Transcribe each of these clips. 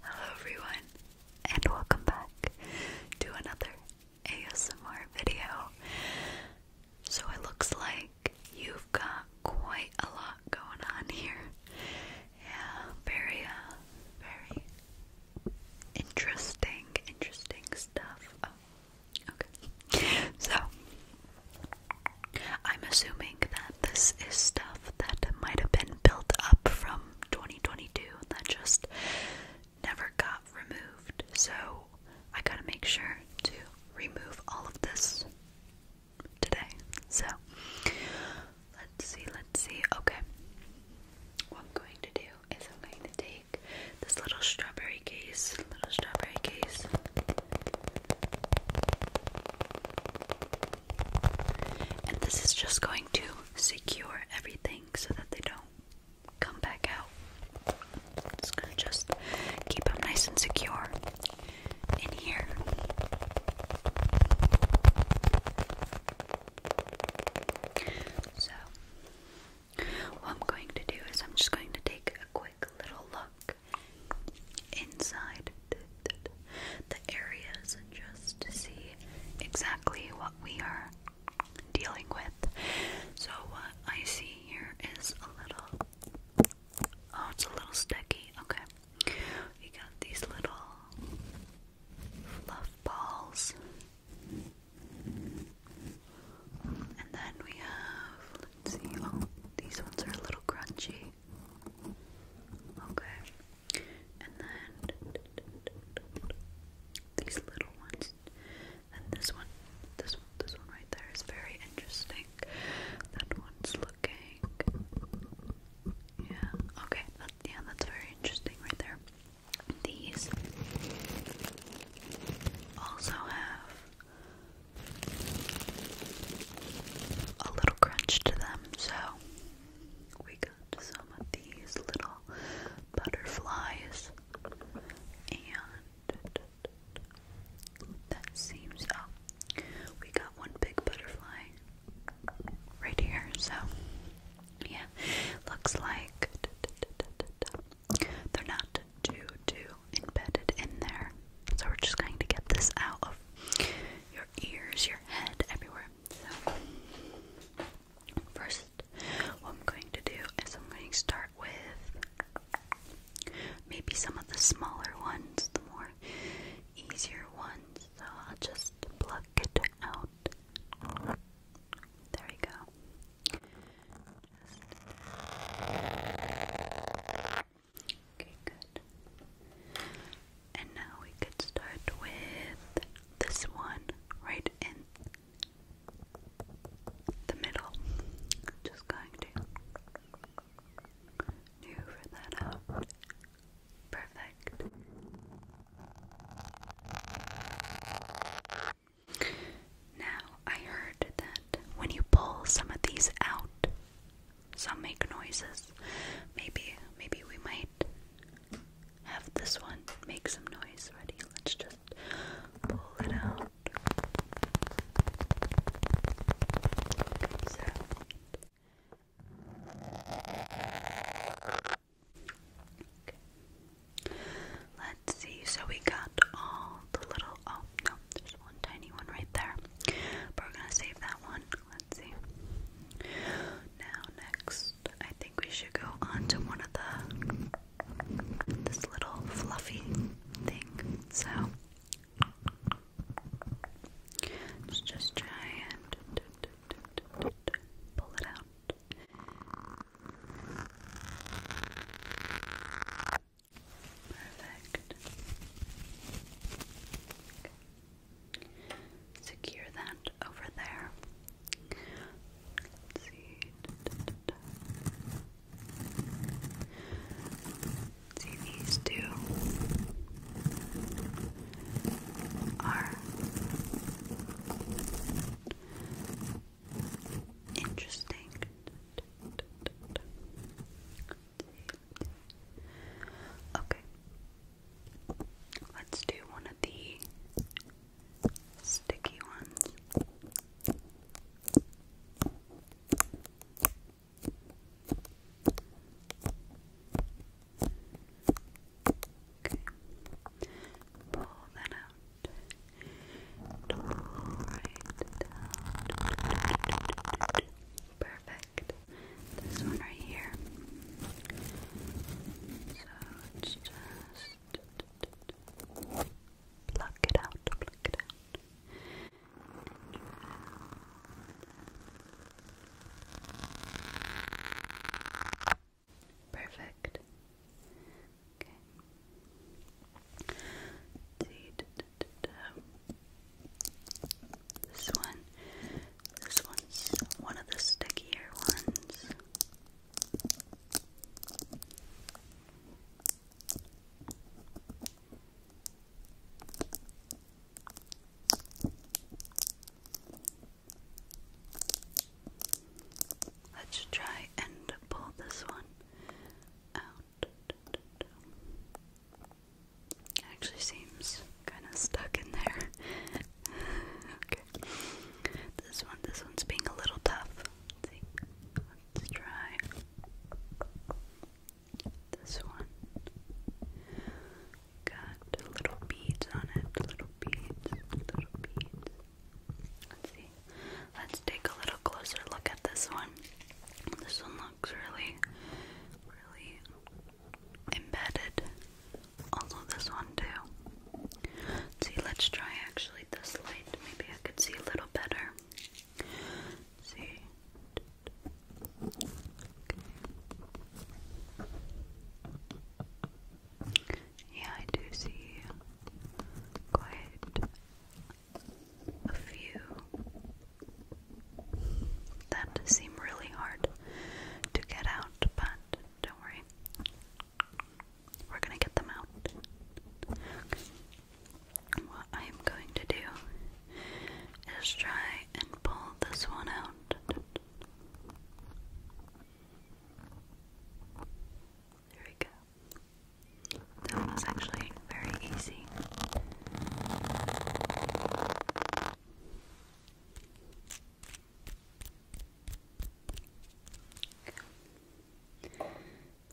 Hello everyone, and welcome back to another ASMR video. So it looks like you've got quite a lot going on here. Yeah, very, uh, very interesting, interesting stuff. Oh, okay. So, I'm assuming that this is stuff that might have been built up from 2022 that just never got removed. So I gotta make sure to remove all of this today. So let's see, let's see. Okay. What I'm going to do is I'm going to take this little strawberry case, little strawberry case. And this is just going to secure everything so that they don't come back out. It's gonna just keep them nice and secure in here. So, what I'm going to do is I'm just going to take a quick little look inside the areas just to see exactly what we are dealing with. So what I see here is a little oh it's a little sticky, okay. You got these little fluff balls. And then we have let's see, oh, these ones are a little crunchy. Okay and then these little ones, and this one, this one, this one right there is very interesting. That one's looking, yeah, okay, that, yeah, that's very interesting right there. These also have a little crunch to them, so we got some of these little butterflies, and that seems. Oh, we got one big butterfly right here, so yeah, looks like they're not too, too embedded in there. So we're just going to get this out of your your ears, your head, everywhere. So, first, what I'm going to do is I'm going to start with maybe some of the smaller ones, the more easier ones. So, I'll just pluck it out. There we go. Okay, good. And now we could start with this one right in the middle. Just going to maneuver that out. Perfect. Now, I heard that when you pull some of these out, some make noises. Maybe, maybe we might have this one make some noise. Ready? Let's just pull it out. Okay. Let's see. So we got all the little. Oh no, there's one tiny one right there. But we're gonna save that one see. Now next, I think we should go on to one of the this little fluffy thing. So let's just try and pull it out. Perfect secure that over there. See, these two are interesting. Okay. Let's do one of the sticky ones. Okay. Pull that out. Pull Perfect. This one right here. So it's just pluck it out, pluck it out. Perfect. Okay. This one. This one's one of the stickier ones. Let's try and pull this one out. It actually seems kind of stuck in there. okay. This one, this one's being a little tough. Let's see. Let's try this one. Got little beads on it. Little beads. Little beads. Let's see. Let's take a little closer look at this one. This one looks really, really embedded. Also this one too. See, let's try actually this light. Maybe I could see a little better. See. Yeah, I do see quite a few that seem really hard to get out, but don't worry. We're gonna get them out. What I am going to do is try and pull this one out. There we go. That was actually very easy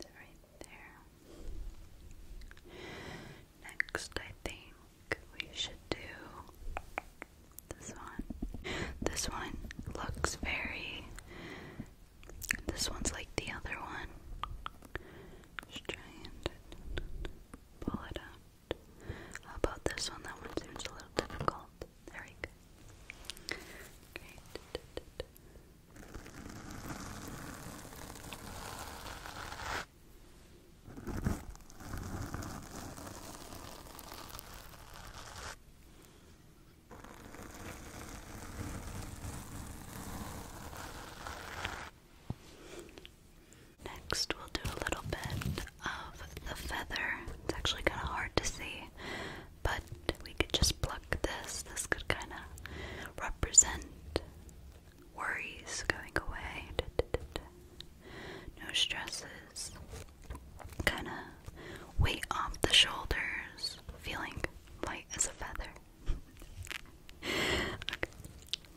right there. Next, I think we should do this one. This one looks very. This one's like the other one. Just pull it out. How about this one? That one seems a little difficult. There we go. Great. Next, we'll do a little bit of the feather. It's actually kind of hard to see, but we could just pluck this. This could kind of represent worries going away. No stresses. Kind of weight off the shoulders. Feeling light as a feather. I'm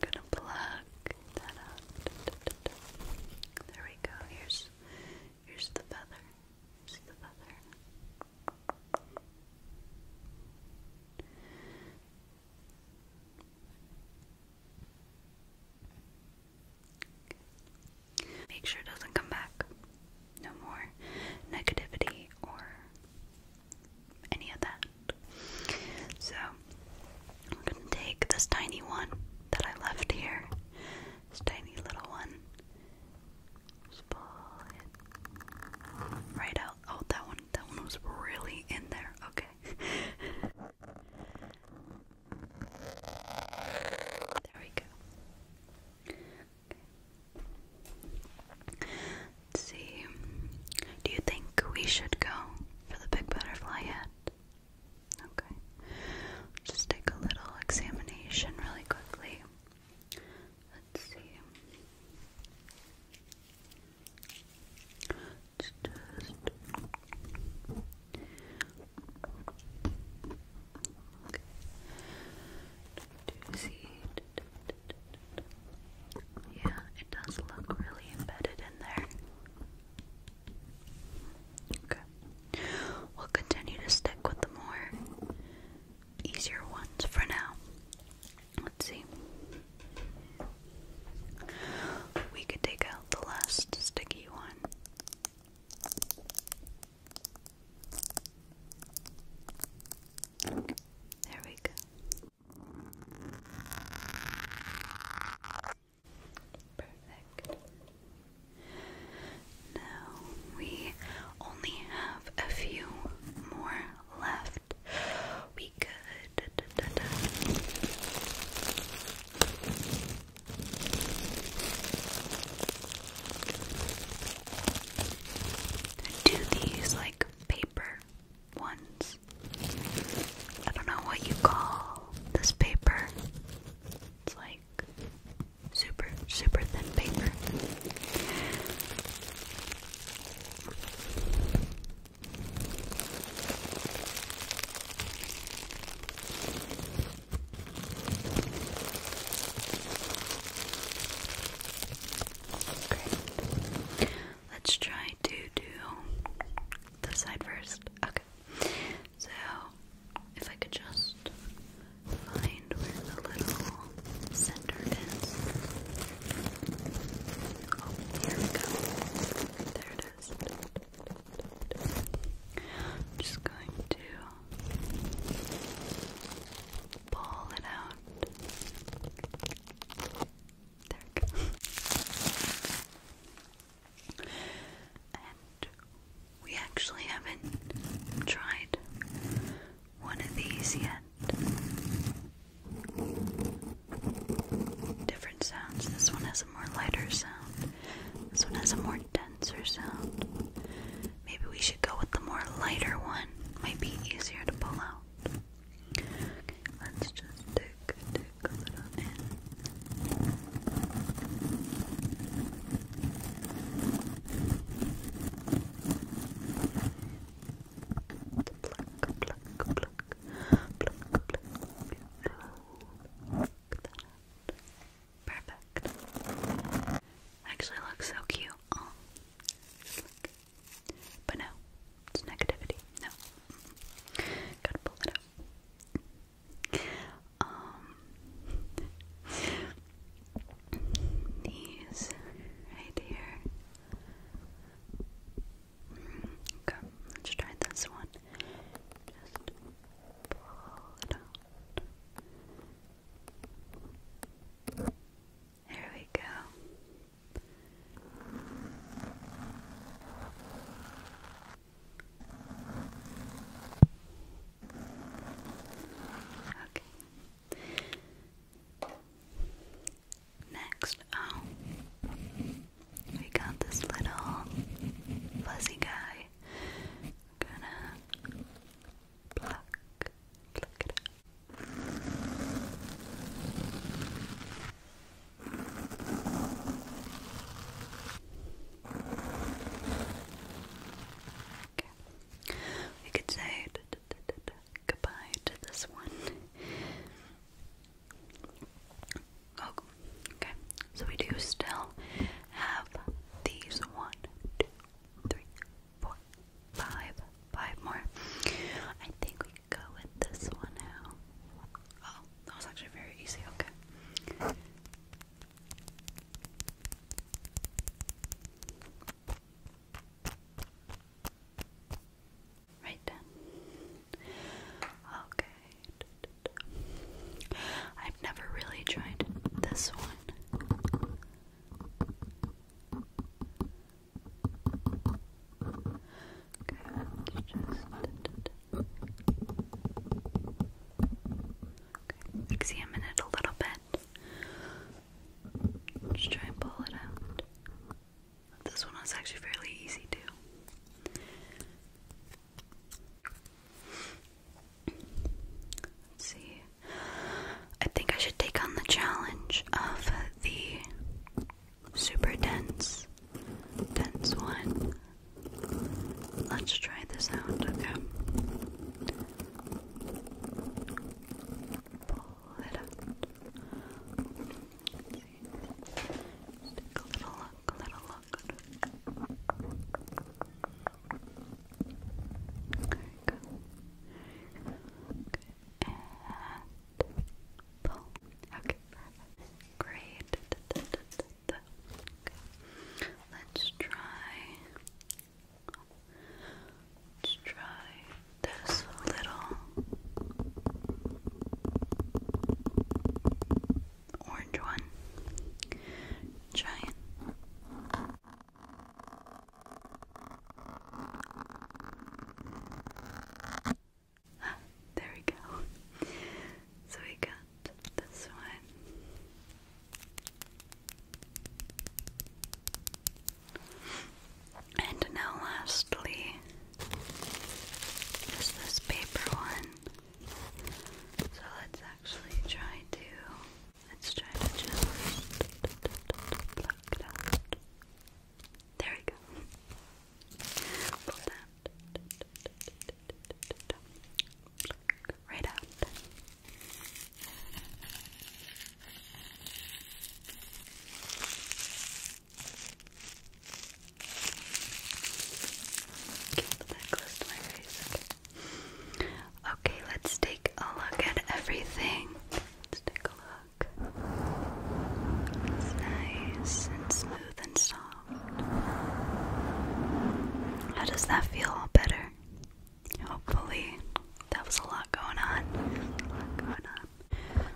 gonna pluck that out. There we go. Here's here's the feather. Make sure it doesn't come back. No more negativity or any of that. So I'm gonna take this tiny one that I left here, this tiny little one, just pull it right out. Oh, that one, that one was really in there. Okay. there we go. Let's see. Do you think we should go for the big butterfly yet? Okay. Just take a little examination really quickly. Let's see. just Do you see? Yeah, it does look really embedded in there. Okay. We'll continue to stick with the more easier ones for now. Let's see. We could take out the last sticky one. There we go. Perfect. Now we only have a few more left. We could. Do these like paper ones. I don't know what you call this paper. It's like super, super thin paper. Great let's try to do the side first. Okay. So if I could just find where the little center is. Oh, here we go. There it just going to pull it out. There we actually haven't tried one of these yet. Different sounds. This one has a more lighter sound. This one has a more denser sound. Maybe we should go with the more lighter one. Might be easier to pull out. Okay, let's just take, take a little bit. Perfect. Actually looks so cute. Oh, but no, it's negativity. No. Gotta pull it up. Um, these right here. Mm, okay, let's try this one. Just pull it out. There we go. Okay. Next, oh, we got this little fuzzy guy. gonna pluck, pluck it we could say goodbye to this one. Oh, okay. So we do still have these one, two, three, four, five, five more. I think we can go with this one now. Oh, that was actually very easy. Okay. Right then. Okay. I've never really tried this one. Okay, let's just examine it a little bit. let try and pull it out. This one is actually fairly easy too. Let's see. I think I should take on the challenge of the super dense, dense one. Let's try this out, okay? Pull a little look, a little look. There you pull. Okay, perfect. Great. Da, Let's try. Let's try this little orange one. Giant. there we go. So we got this one. And now, lastly, is this paper one. So let's actually try to. Let's try to just there we go. Pull that right out. okay, let's take a look at everything. Let's take a look. It's nice and smooth and soft. How does that feel all better? Hopefully, that was a lot going on. A lot going on.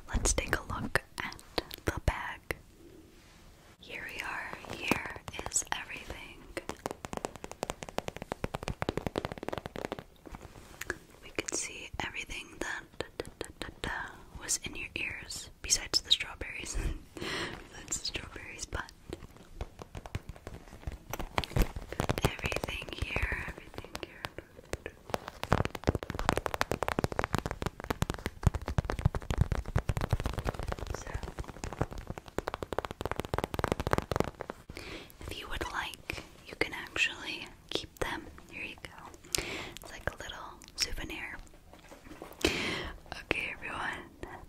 Let's take a look at the bag. Here we are. Here is everything. We could see everything that was in your ears, besides the strawberries. That's the strawberries, but everything here, everything here. So, if you would like, you can actually keep them. Here you go. It's like a little souvenir. Okay, everyone.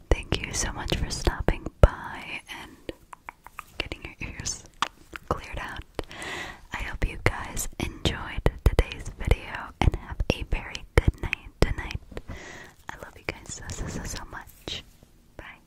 Thank you so much for stopping by and getting your ears cleared out. I hope you guys enjoyed today's video and have a very good night tonight. I love you guys so so so much. Bye.